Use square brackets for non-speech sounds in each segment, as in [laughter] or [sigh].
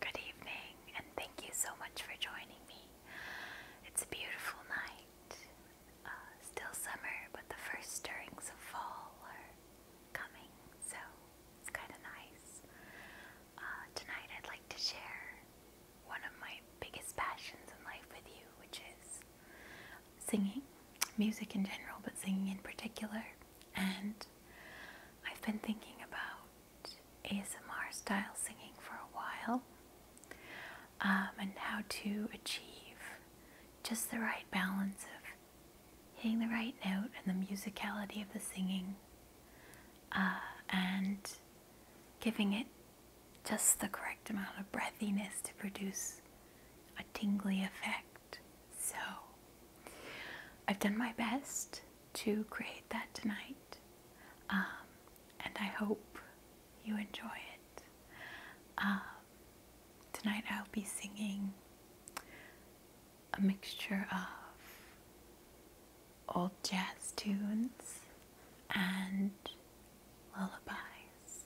Good evening, and thank you so much for joining me. It's a beautiful night. Uh, still summer, but the first stirrings of fall are coming, so it's kind of nice. Uh, tonight, I'd like to share one of my biggest passions in life with you, which is singing, music in general, but singing in particular. And I've been thinking about ASMR style singing for a while um, and how to achieve just the right balance of hitting the right note and the musicality of the singing uh, and giving it just the correct amount of breathiness to produce a tingly effect. So I've done my best to create that tonight, um, and I hope you enjoy it. Um, tonight I'll be singing a mixture of old jazz tunes and lullabies,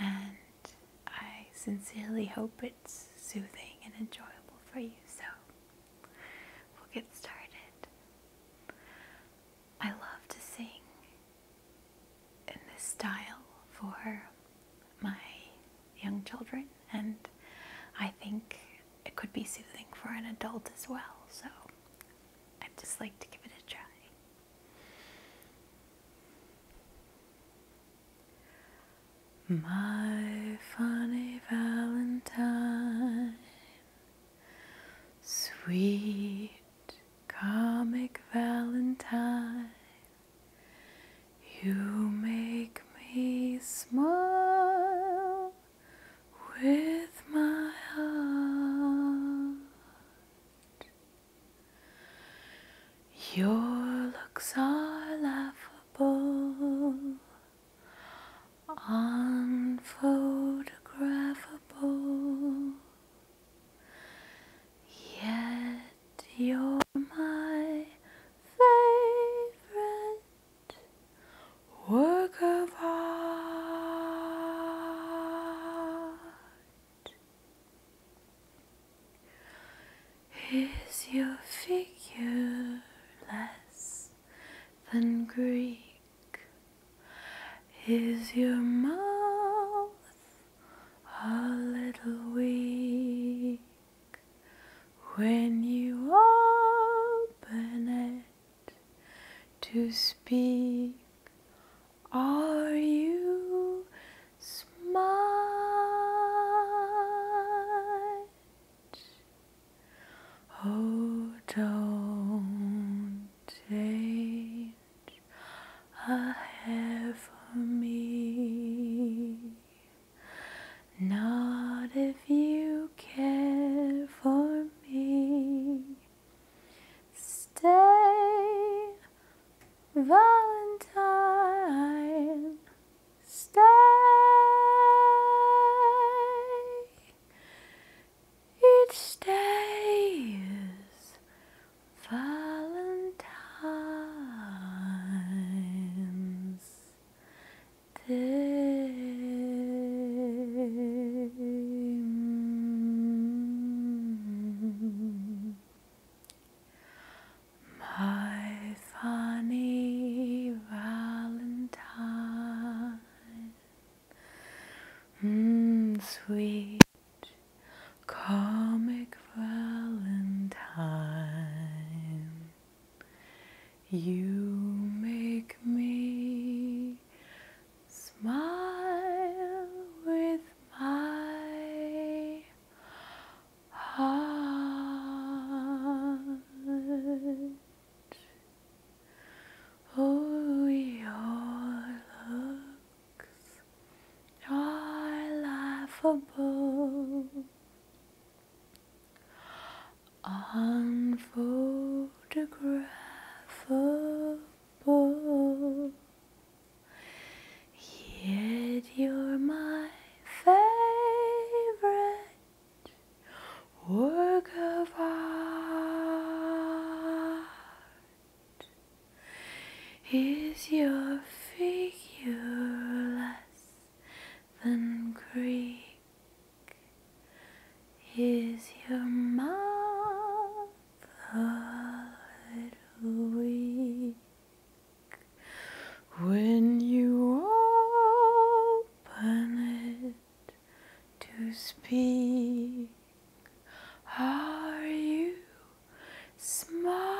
and I sincerely hope it's soothing and enjoyable for you. So we'll get started. I love to sing in this style for my young children, and I think it could be soothing for an adult as well. So I'd just like to give it a try. My funny Valentine, sweet comic Valentine, you make me smile with my heart. Your looks are laughable, unphotographable, yet you're my favorite work of art. Is your figure less than Greek? Is your mouth a little weak when you open it to speak are you smart? Oh, don't change a hair for me. Not if you care for me. Stay, Valentine, stay. It stays, Valentine's Day. My funny Valentine, mm, sweet comic Valentine, you make me Smile with my heart. Oh, your looks are laughable. On people. Yet you're my favorite work of art. Is your figure less than Greek? Is your mouth a little weak when you open it to speak? Are you smart?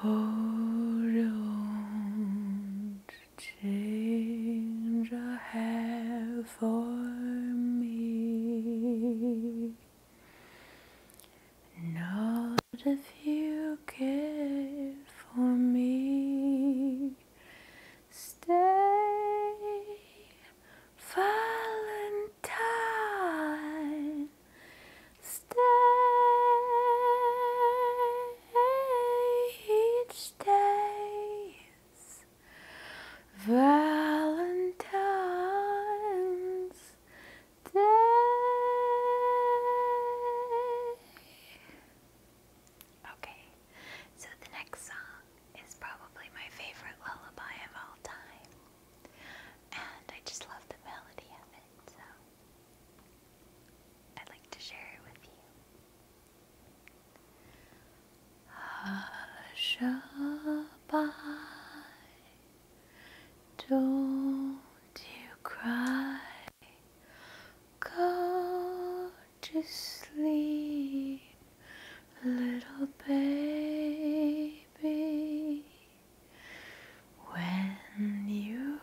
Hold on to change a hair for me. Not if you care for me. Stay, Valentine. Stage days, Valentine's Day. Okay, so the next song is probably my favorite lullaby of all time, and I just love the melody of it. So. I'd like to share it with you. don't you cry, go to sleep, little baby. When you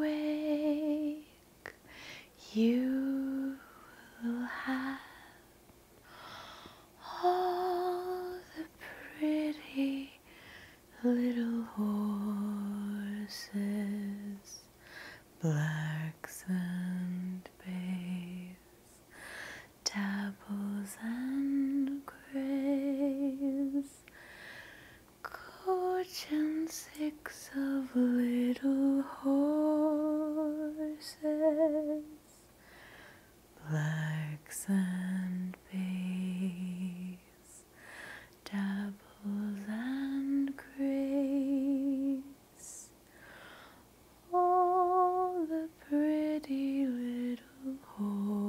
wake, you will have all the pretty little horses, blacks and bays, dabbles and grays. Coach and six of little horses, blacks and bays, doubles and grays, all the pretty little horses.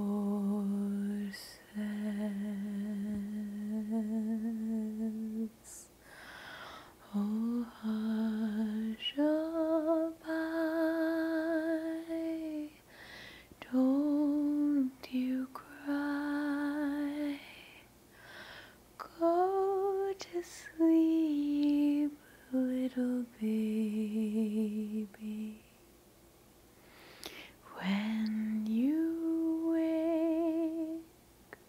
Oh, hush don't you cry. Go to sleep, little baby. When you wake,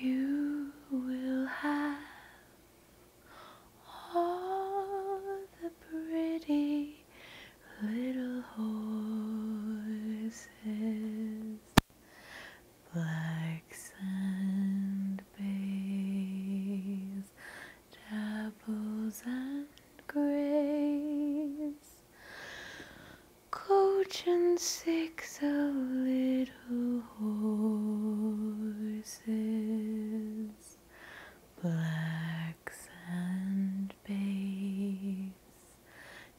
you will have all the pretty little horses, black sand bays apples and grace. Coach and six of little horses, blacks and bays,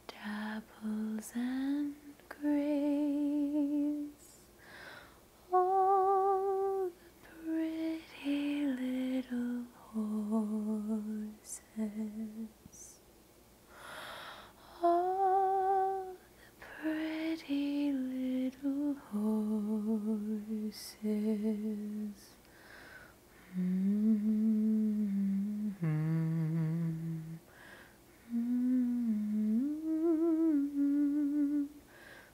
dapples and grays, all the pretty little horses. All the pretty little horses. Mm -hmm. Mm -hmm.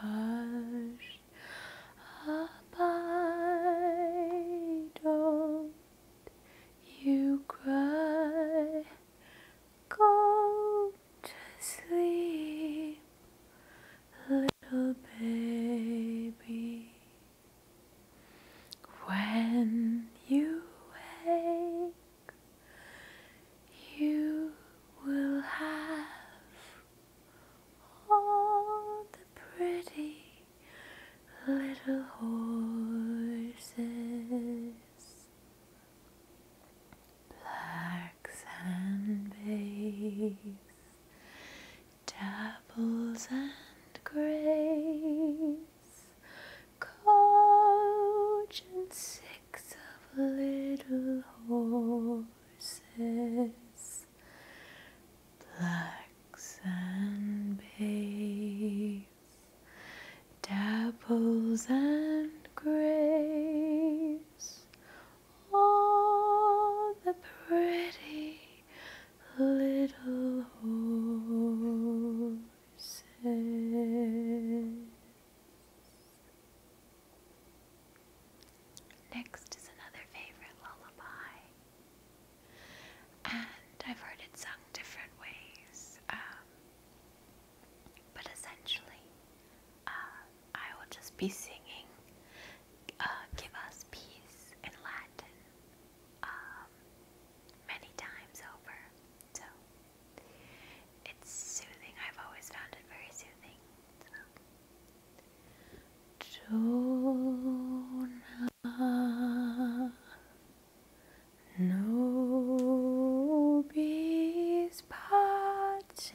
Hush, up don't you cry go to sleep little baby when you wake you will have all the pretty little horses, black sand bays, dapples and grays, coach and backs of little horses, blacks and bays, dapples and grays, all the pretty little horses. Next is another favorite lullaby. And I've heard it sung different ways, um, but essentially, uh, I will just be singing uh, Give Us Peace in Latin um, many times over. So it's soothing. I've always found it very soothing. So. Jonah, no bees part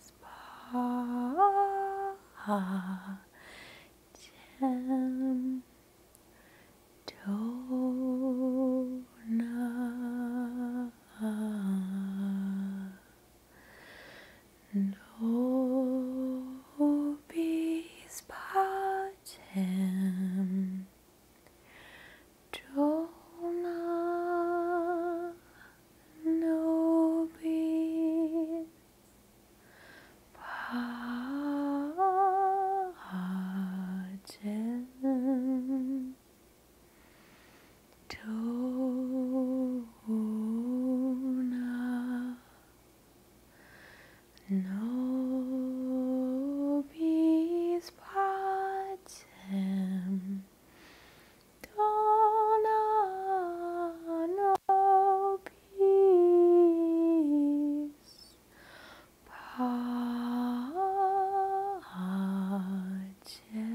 spa gem Dona Nobis pacem Jonah Nobis Pacem Dona Nobis Pacem Donna, no peace, Pacem.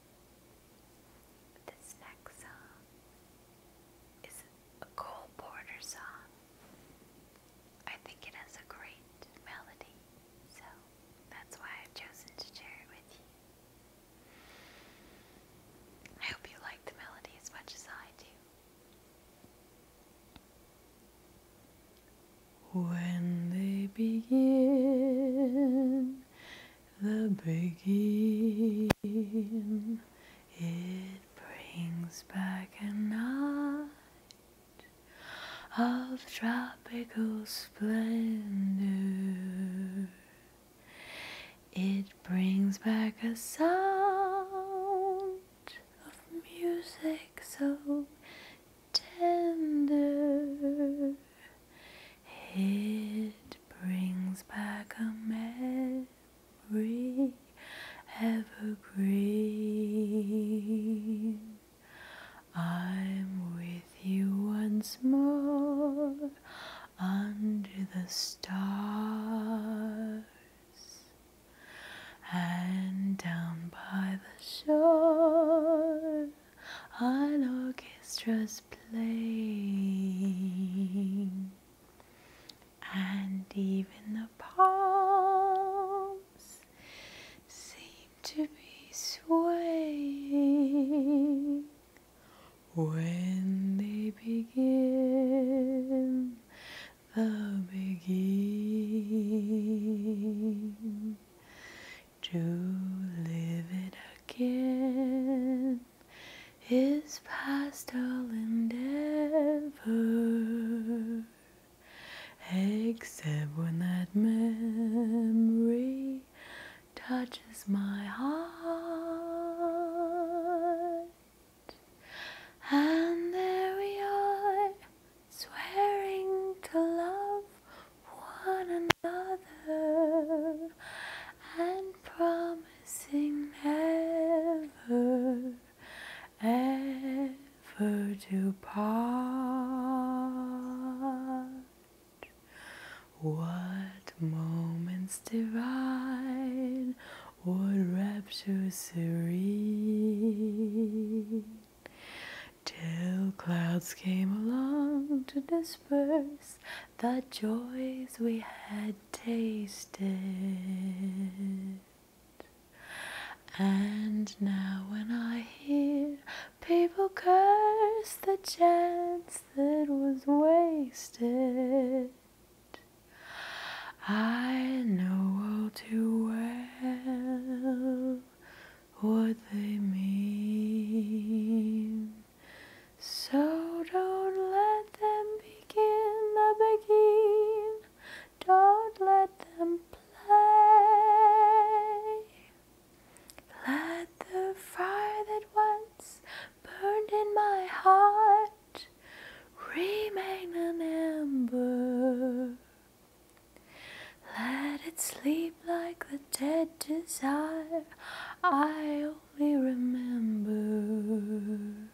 This next song is a Cole Porter song. I think it has a great melody, so that's why I've chosen to share it with you. I hope you like the melody as much as I do. When they begin the begin. It brings back a night of tropical splendor. It brings back a sound of music so tender. It brings back a memory evergreen. I'm with you once more under the stars and down by the shore an orchestra's playing, and even the palms seem to be swaying when they begin the beginning. To live it again is past all endeavor, except when that memory touches my heart. And there we are, swearing to love one another and promising never ever to part. What moments divine, what rapture serene till clouds came along to disperse the joys we had tasted. And now, when I hear people curse the chance that was wasted, I know all too well what they mean. So don't let them begin the begin. Don't let them play. Let the fire that once burned in my heart remain an ember. Let it sleep like the dead desire I only remember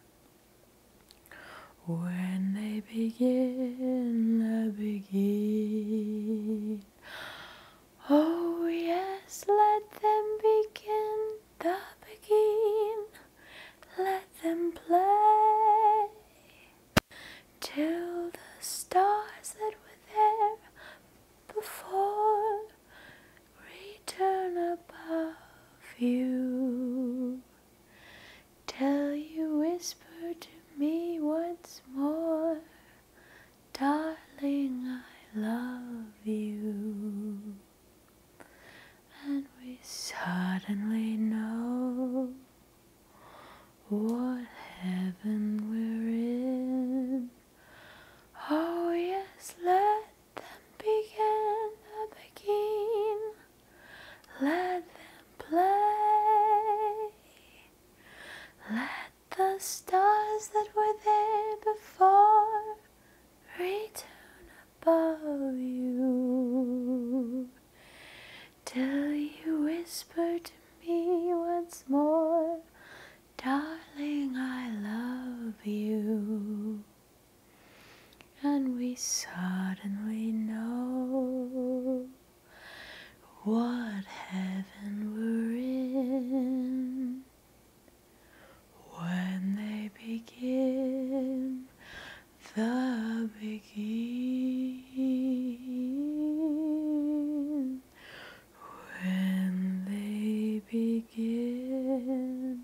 when they begin, I begin. Oh, yes, let them begin, the begin. Let them play till the stars that were there before return above you till you whisper to me once more darling i love you and we suddenly know what heaven we're in. Oh, yes, let them begin the begin. Let them play. Let the stars that were there before return above you till you whisper to me once more, Darling, I love you. And we suddenly know what heaven we're in when they begin the beginning when they begin the beginning.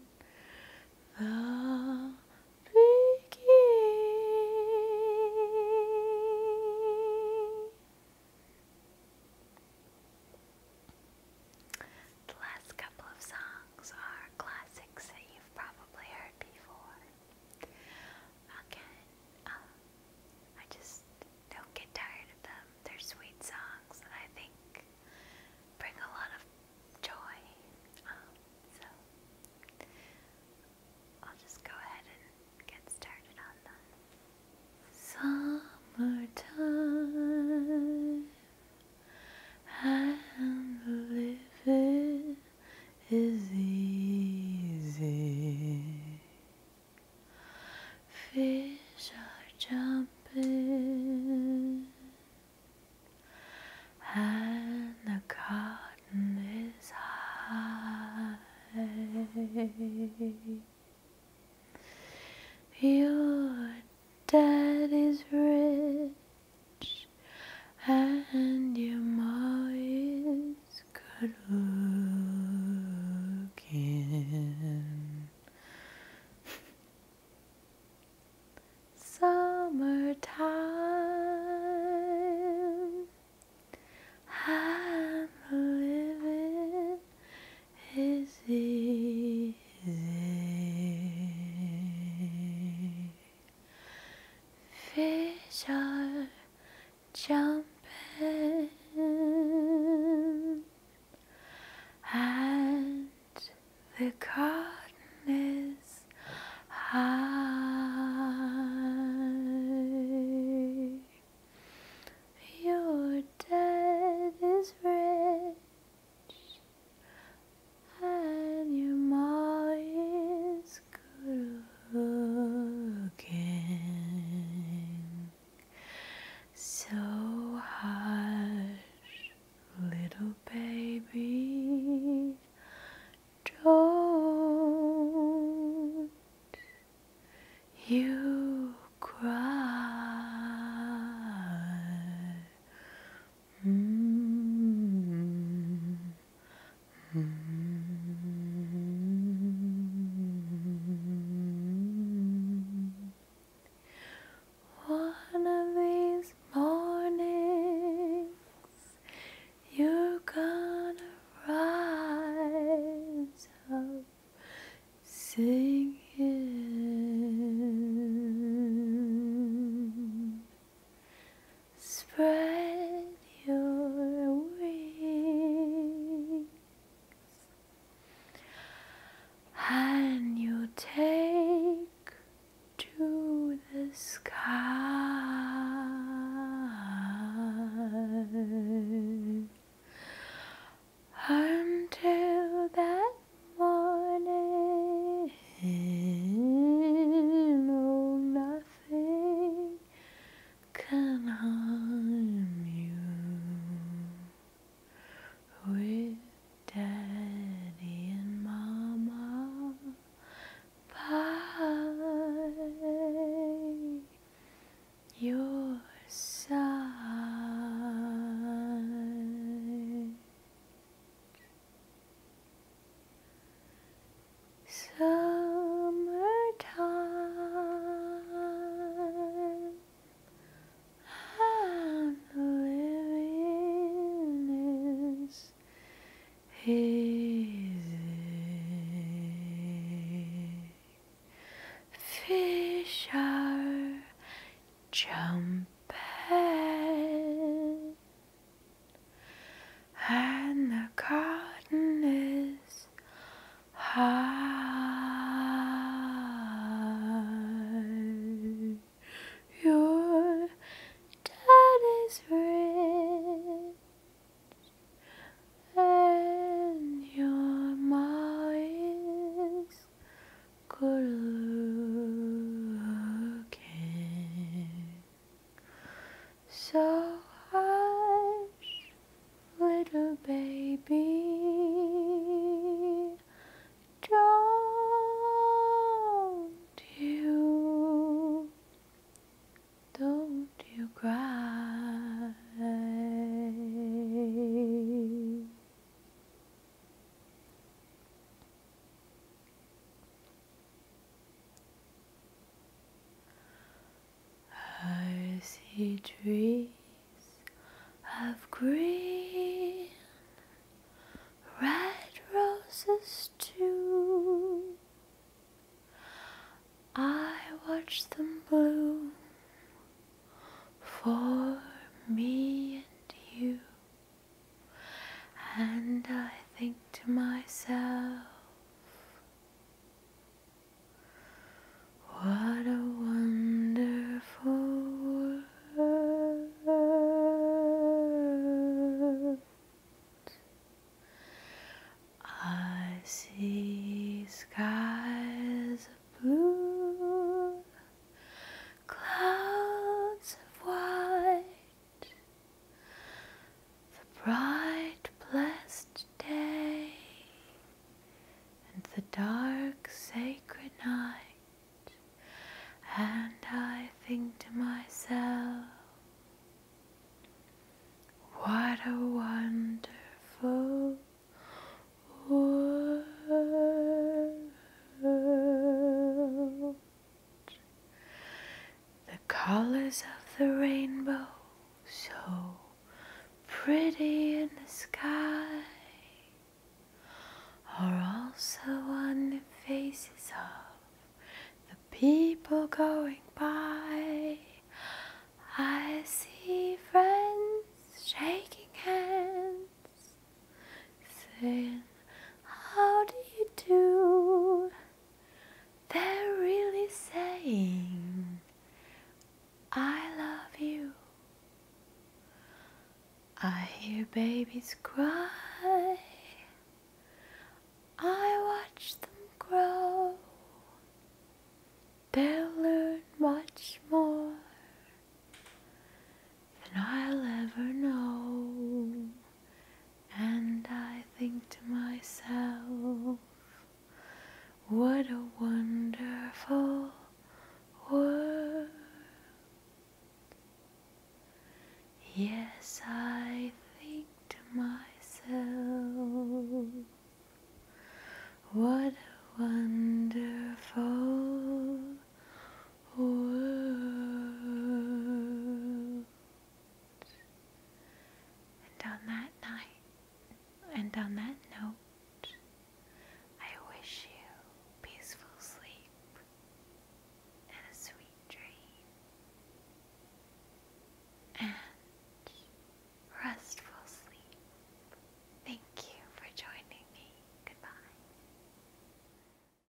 The last couple of songs are classics that you've probably heard before. Again, um, I just don't get tired of them. They're sweet songs that I think bring a lot of joy. Um, so I'll just go ahead and get started on them. Summertime. I'm living is easy. Fish are jumping, and the cotton is high. Your dad is rich, and your mom is it's good looking. [laughs] Summertime, I'm living easy. Fish are jumping and the cotton is high. Your dad is rich and your ma is again. So hush, little baby, don't you cry. Mm. One of these mornings, you're gonna rise up singing. Spread your wings and you take to the sky until that morning. Oh, nothing can harm you with daddy and mama by your side. Summertime, I'm living is easy. Fish are jumping and the cotton is high. Your daddy's rich and your ma is good looking. So hush, little baby, don't you, don't you cry. I see trees of green, red roses too. I watch them bloom for me and you. And I think to myself, what a wonderful world. I see skies of blue, clouds of white the bright, blessed day and the dark, sacred night, and I think to myself, what a wonderful world the colors of the rainbow, so pretty in the sky, are also on the faces of the people going by. I see friends shaking hands saying, How do you do? They're really saying, I love you. I hear babies cry. I watch them grow. They'll learn much more than I'll ever know. And I think to myself, what a wonderful world. Yes, I think to myself, what a wonderful and on that night, and on that note, I wish you peaceful sleep and a sweet dream and restful sleep. Thank you for joining me. Goodbye.